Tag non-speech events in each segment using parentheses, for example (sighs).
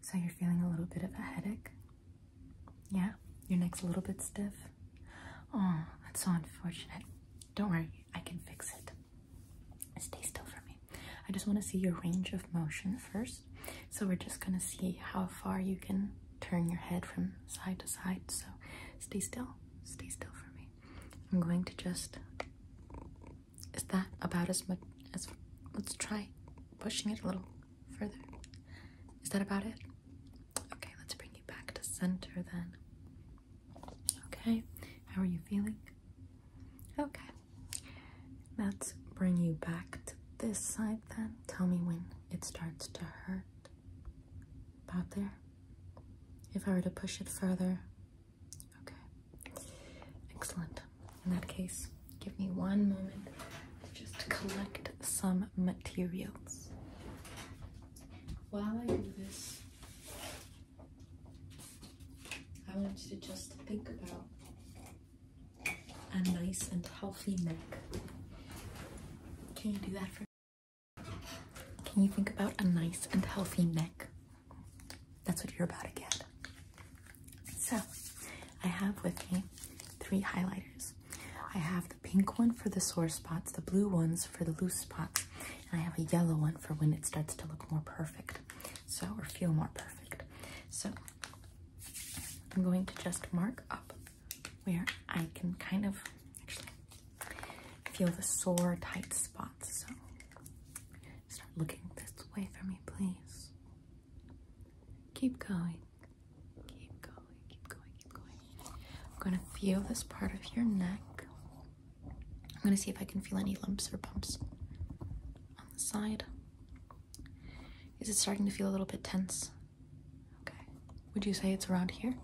So you're feeling a little bit of a headache? Yeah? Your neck's a little bit stiff? Oh, that's so unfortunate. Don't worry, I can fix it. Stay still for me. I just want to see your range of motion first. So we're just going to see how far you can turn your head from side to side. So stay still. Stay still for me. I'm going to just is that about as much as. Let's try pushing it a little further. Is that about it? Okay, let's bring you back to center then. Okay, how are you feeling? Okay, let's bring you back to this side then. Tell me when it starts to hurt. About there. If I were to push it further, Okay. Excellent. In that case, give me one moment just to collect some materials. While I do this, I want you to just think about a nice and healthy neck. Can you do that for me? Can you think about a nice and healthy neck? That's what you're about to get. So, I have with me three highlighters. I have the pink one for the sore spots, the blue ones for the loose spots, and I have a yellow one for when it starts to look more perfect, so or feel more perfect. So, I'm going to just mark up where I can kind of actually feel the sore, tight spots. So, Start looking this way for me, please. Keep going. Keep going, keep going, keep going. I'm going to feel this part of your neck. I'm going to see if I can feel any lumps or bumps on the side. Is it starting to feel a little bit tense? Okay. Would you say it's around here?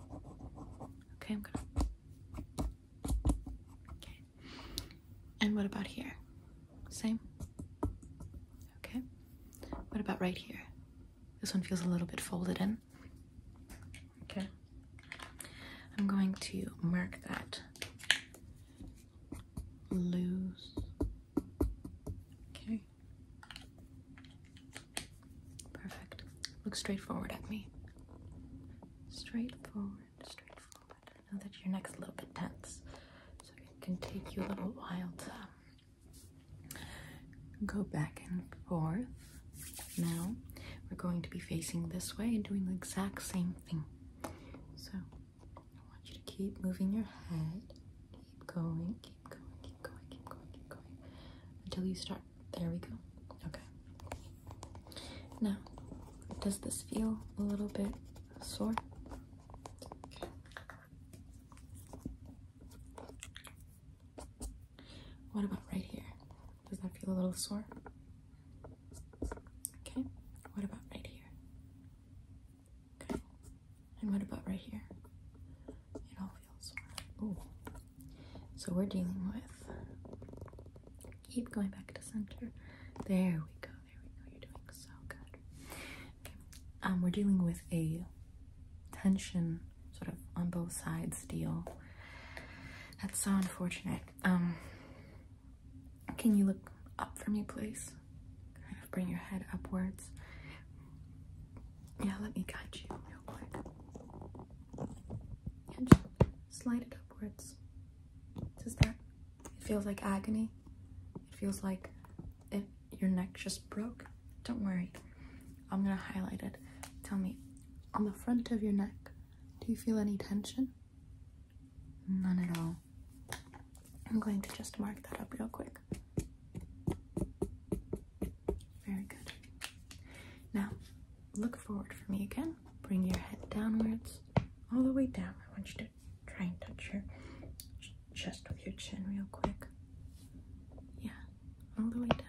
Okay, I'm gonna Okay. And what about here? Same? Okay. What about right here? This one feels a little bit folded in. Okay. I'm going to mark that loose. Okay. Perfect. Look straight forward at me. Straight forward, straight forward. I know that your neck's a little bit tense, so it can take you a little while to um, go back and forth. Now we're going to be facing this way and doing the exact same thing. So I want you to keep moving your head, keep going, keep going, keep going, keep going, keep going until you start. There we go. Okay. Now, does this feel a little bit sore? What about right here? Does that feel a little sore? Okay. What about right here? Okay. And what about right here? It all feels sore. Ooh. So we're dealing with keep going back to center. There we go. There we go. You're doing so good. Okay. Um, we're dealing with a tension sort of on both sides deal. That's so unfortunate. Um, can you look up for me, please? Kind of bring your head upwards. Yeah, let me guide you slide it upwards. Does that? It feels like agony. It feels like if your neck just broke. Don't worry. I'm gonna highlight it. Tell me, on the front of your neck, do you feel any tension? None at all. I'm going to just mark that up real quick. Very good. Now, look forward for me again bring your head downwards, all the way down. I want you to try and touch your chest with your chin real quick. Yeah, all the way down.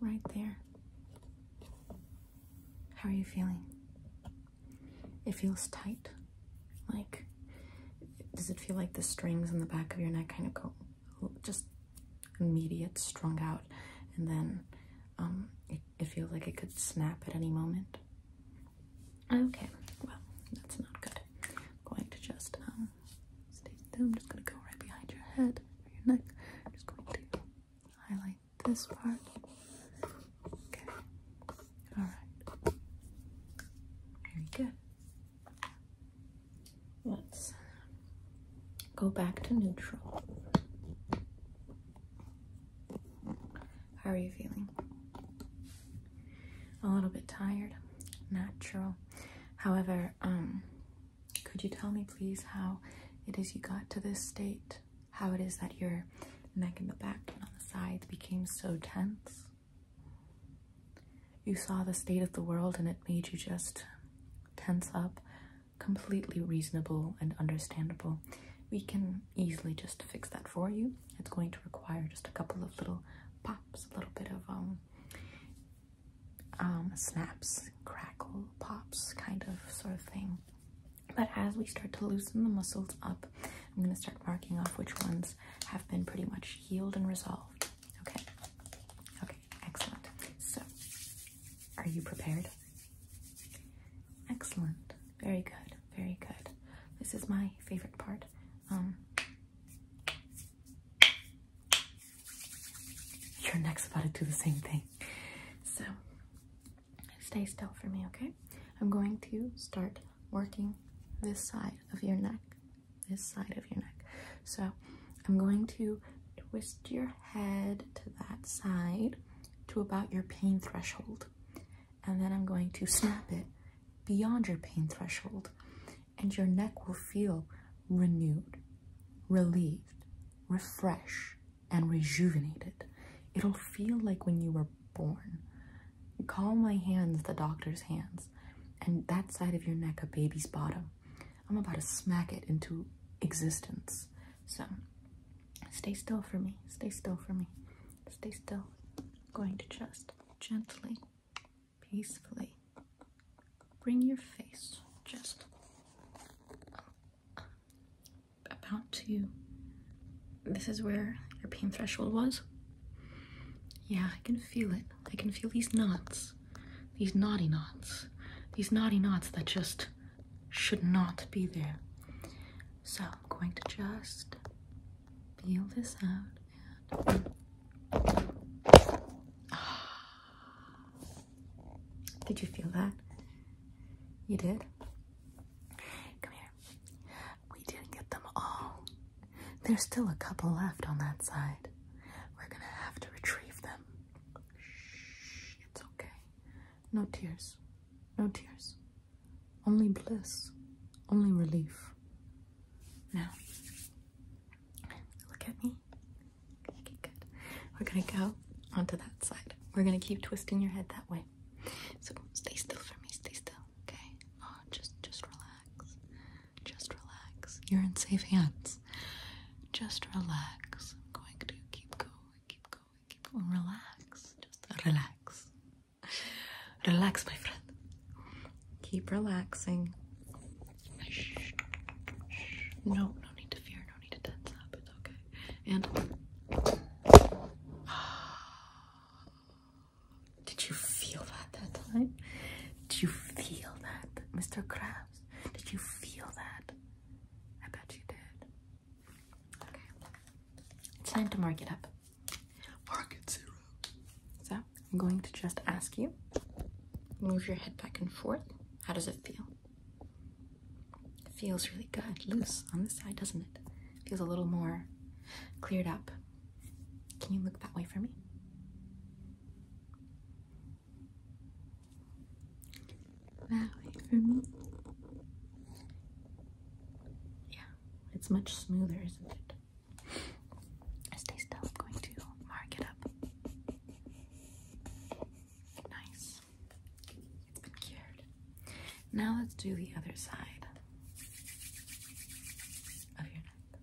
Right there. How are you feeling? It feels tight. Like, does it feel like the strings in the back of your neck kind of go just immediate, strung out, and then um, it, feels like it could snap at any moment. Okay, well, that's not good. I'm going to just um, stay still. I'm just going to go right behind your head, your neck. I'm just going to highlight this part. Okay, alright. Very good. Let's go back to neutral. How are you feeling? A little bit tired, natural. However, um, could you tell me please how it is you got to this state? How it is that your neck and the back and on the sides became so tense? you saw the state of the world and it made you just tense up. Completely reasonable and understandable. We can easily just fix that for you. It's going to require just a couple of little pops, a little bit of um, um, snaps, crackle, pops, kind of sort of thing. But as we start to loosen the muscles up, I'm going to start marking off which ones have been pretty much healed and resolved. Okay. Okay, excellent. So, are you prepared? Excellent. Very good. Very good. This is my favorite part. Um Your neck's about to do the same thing. So, stay still for me, okay? I'm going to start working this side of your neck this side of your neck. So I'm going to twist your head to that side to about your pain threshold. And then I'm going to snap it beyond your pain threshold. And your neck will feel renewed, relieved, refreshed, and rejuvenated. It'll feel like when you were born. Call my hands the doctor's hands, and that side of your neck a baby's bottom. I'm about to smack it into existence. So stay still for me. Stay still for me. Stay still. I'm going to just gently, peacefully bring your face just about to. This is where your pain threshold was. Yeah, I can feel it. I can feel these knots. These naughty knots. These naughty knots that just should not be there. So I'm going to just feel this out (sighs) Did you feel that? You did? Come here. We didn't get them all. There's still a couple left on that side. We're gonna have to retrieve them. Shh, it's okay. No tears. No tears. Only bliss. Only relief. Now, look at me. Okay, good. We're gonna go onto that side. We're gonna keep twisting your head that way. So stay still for me. Stay still. Okay. Oh, just, just relax. Just relax. You're in safe hands. Just relax. I'm going to keep going, keep going, keep going. Relax. Just relax. Relax, my friend. Keep relaxing. No, no need to fear, no need to tense up. It's okay. And did you feel that that time? Did you feel that, Mr. Krabs? Did you feel that? I bet you did. Okay. It's time to mark it up. Mark it zero. So, I'm going to just ask you move your head back and forth. How does it feel? feels really good. Loose on this side, doesn't it? Feels a little more cleared up. Can you look that way for me? That way for me. Yeah, it's much smoother, isn't it? Stay still. going to mark it up. Nice. It's been cured. Now let's do the other side of your neck,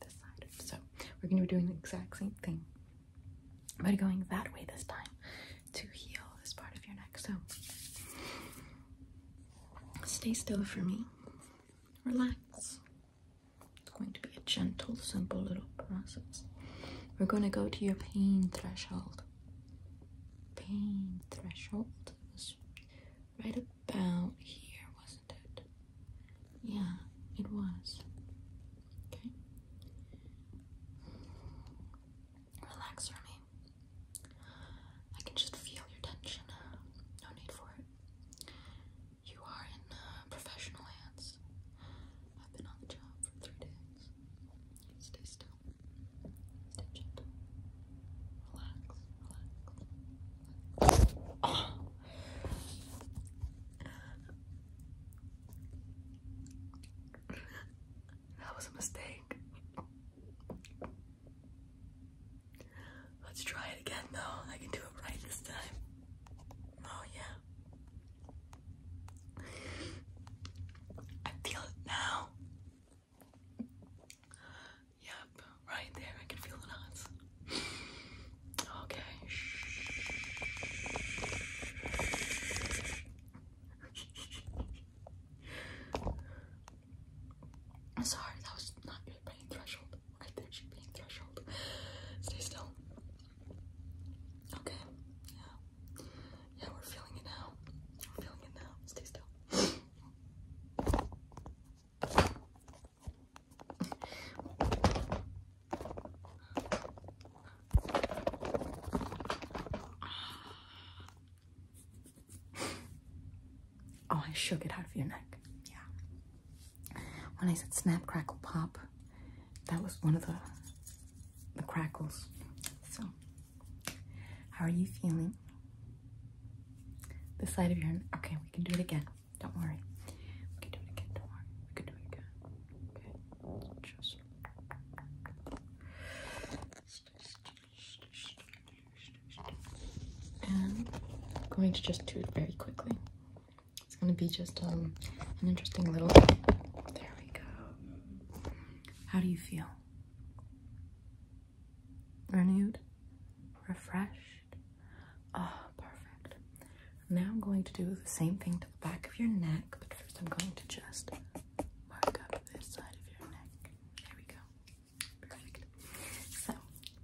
this side. So we're going to be doing the exact same thing, but going that way this time to heal this part of your neck. So stay still for me. Relax. It's going to be a gentle, simple little process. We're going to go to your pain threshold. Pain threshold right about here, wasn't it? Yeah, it was. Okay. Relax for I can just feel your tension. No need for it. You are in uh, professional hands. I've been on the job for three days. Stay still. That was a mistake. Let's try it again though. I can do it right this time. Oh yeah. I feel it now. Yep, right there. I can feel the knots. Okay. I'm sorry, that was not your pain threshold. Right there, your pain threshold. Stay still. Okay. Yeah. Yeah, we're feeling it now. We're feeling it now. Stay still. Oh, I shook it out of your neck. Yeah. When I said snap, crackle, pop, that was one of the the crackles. So how are you feeling? The side of your okay, we can do it again. Don't worry. We can do it again, don't worry. We can do it again. Okay. Just and I'm going to just do it very quickly. It's gonna be just um an interesting little there we go. How do you feel? renewed, refreshed. Ah, perfect. Now I'm going to do the same thing to the back of your neck, but first I'm going to just mark up this side of your neck. There we go. Perfect. So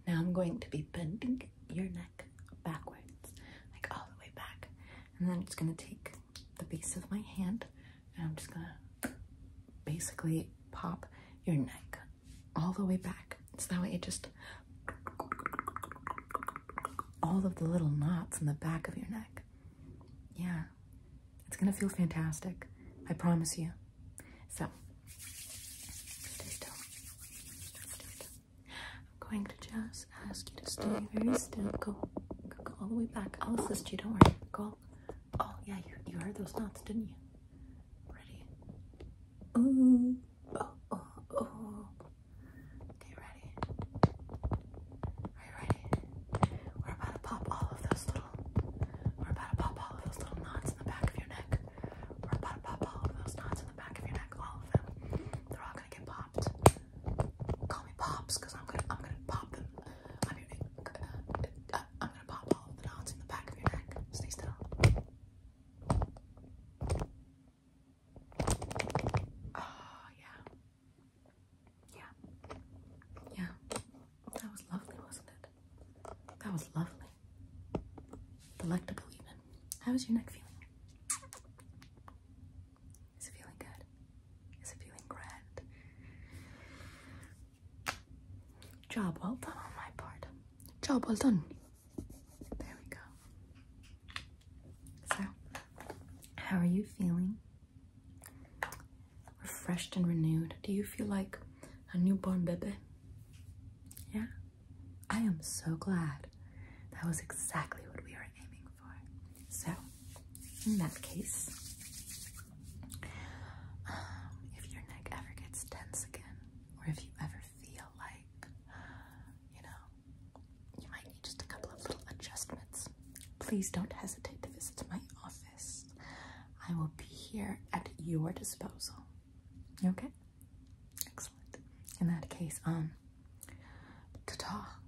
now I'm going to be bending your neck backwards, like all the way back. And then it's going to take the base of my hand and I'm just gonna basically pop your neck all the way back. So that way it just all of the little knots in the back of your neck. Yeah, it's gonna feel fantastic. I promise you. So I'm going to just ask you to stay very still. Go, go, go all the way back. I'll assist you. Don't worry. Go, Oh yeah, you you heard those knots, didn't you? Ready? Mm. Oh, oh, oh. Okay, ready? Are you ready? We're about to pop all of those little. We're about to pop all of those little knots in the back of your neck. We're about to pop all of those knots in the back of your neck. All of them. They're all gonna get popped. Call me pops, i I'm gonna I'm gonna pop them. I'm going uh, I'm gonna pop all the knots in the back of your neck. Stay still. Oh yeah. Yeah. Yeah. That was lovely, wasn't it? That was lovely. Delectable even. How was your neck feeling? Is it feeling good? Is it feeling great? Job well done on my part. Job well done. There we go. So, how are you feeling? Refreshed and renewed. Do you feel like a newborn baby? Yeah? I am so glad that was exactly what we are aiming for. So, in that case, um, if your neck ever gets tense again, or if you ever feel like, you know, you might need just a couple of little adjustments, please don't hesitate to visit my office. I will be here at your disposal. Okay? Excellent. In that case, um, ta-ta.